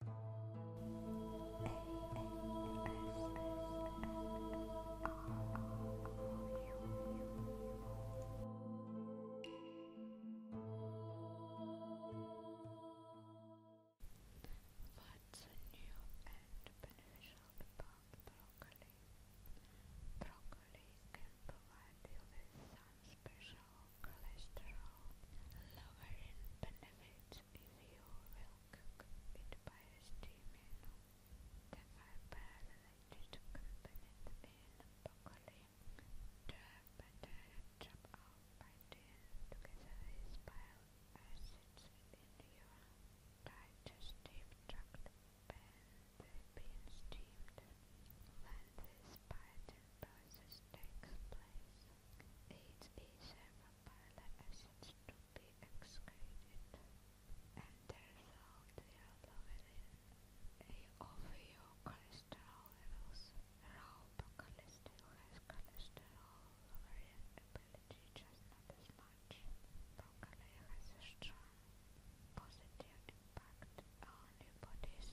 What's new and beneficial broccoli? Broccoli can provide you with special cholesterol lower benefits if you will cook it by The fiber that is accompanied in broccoli, the butter chopped off by tin together is bile in your digestive tract when they've been When this biotin process takes place, it is amyloid acids to be excreted, and the result will lower of your cholesterol levels. Raw broccoli still has cholesterol lowering ability, just not as much. Broccoli has a strong positive impact on body's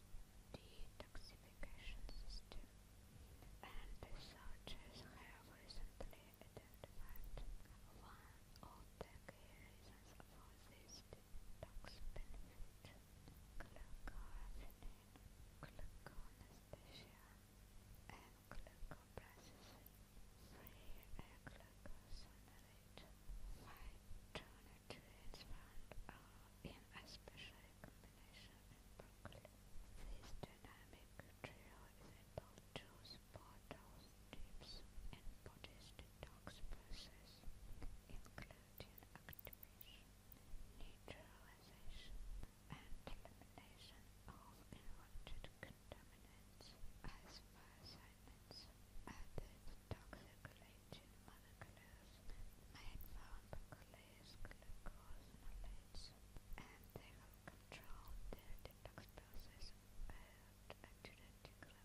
detoxification system, and researchers have recently identified one of the for this detox benefit: glucoraphanin, gluconesthesia, and glucoprocessin. Free White turned to its found are in a special combination in Brooklyn. This dynamic trio is able to support those deeps and bodies detox process, including activation, neutralization, and elimination of invented contaminants as fire assignments added toxic collagen molecules made from glycose glucosinolates, and they will control their detox process at a genetic level.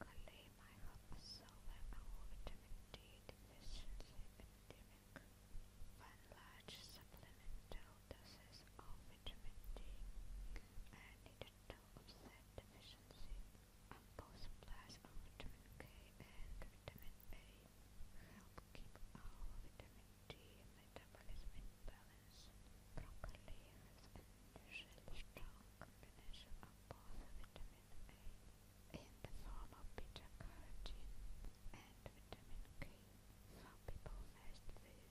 Broccoli might help solve our vitamin D deficiency epidemic. One large supplemental doses of vitamin D and it tended to offset deficiencies on both supplies of vitamin K and vitamin A, help keep our vitamin D metabolism in balance. Broccoli has an unusually strong combination of both vitamin A in the form of beta carotene and vitamin K. Some people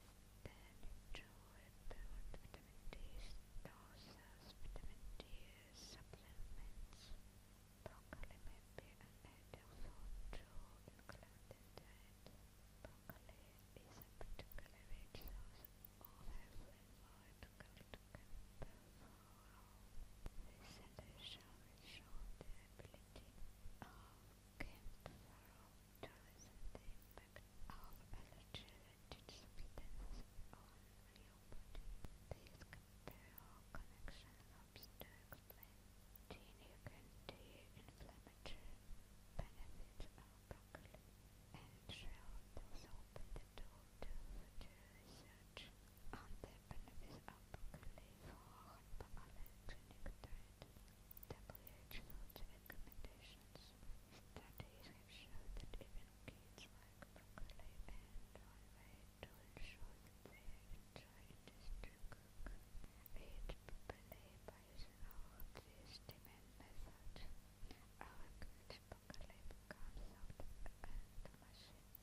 fast this then Joel vitamin D doses, vitamin D supplements. Broccoli may be an ideal food to include in diet. Broccoli is a particularly rich source of high-flavored gold camphorol. Recent research has shown the ability of camphorol the impact of allergy related substances on your body. This connection helps to explain significant inflammatory benefits of broccoli and shall also open the door to future research on the benefits of broccoli for hypoallergenic diet. WHO notes recommendations. Studies have shown that even kids like broccoli and Norway to ensure that cook. Read properly by using all of these demand methods. Our broccoli becomes out and machine an indication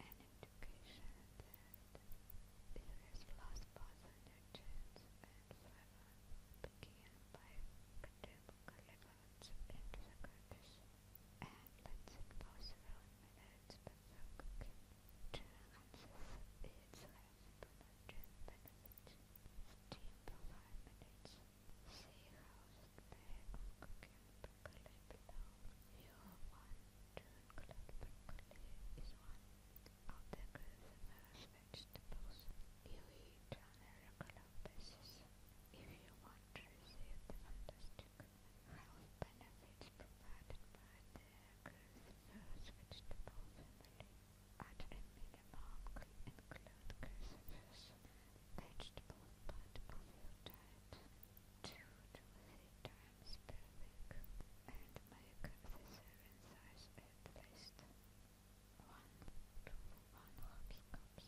that it Richards and Farrar began by contemporary elements into the Kurdish and let's impose our own methods but to enhance its reproduction benefits. Steam for 5 minutes. See how the egg can percolate below your one broccoli is one of the cruciferous vegetables you eat on a regular basis if you want to receive the fantastic health benefits provided by the cruciferous vegetable family. At a minimum, include cruciferous vegetable part of your diet two to three times per week and make the serving size at one to one hockey cups.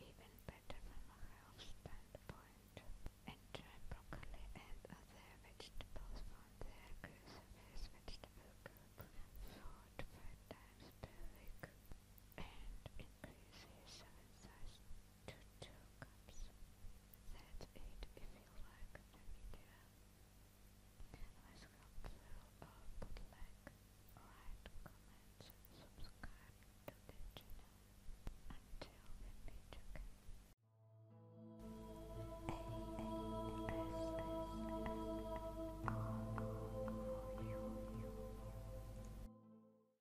Even better from a health standpoint. Enjoy broccoli and other vegetables from their groceries vegetable group four to five times per week and increase his serving to two cups. That's it if you like the video. Let's go through like, write comments, subscribe to the channel. Until we meet again.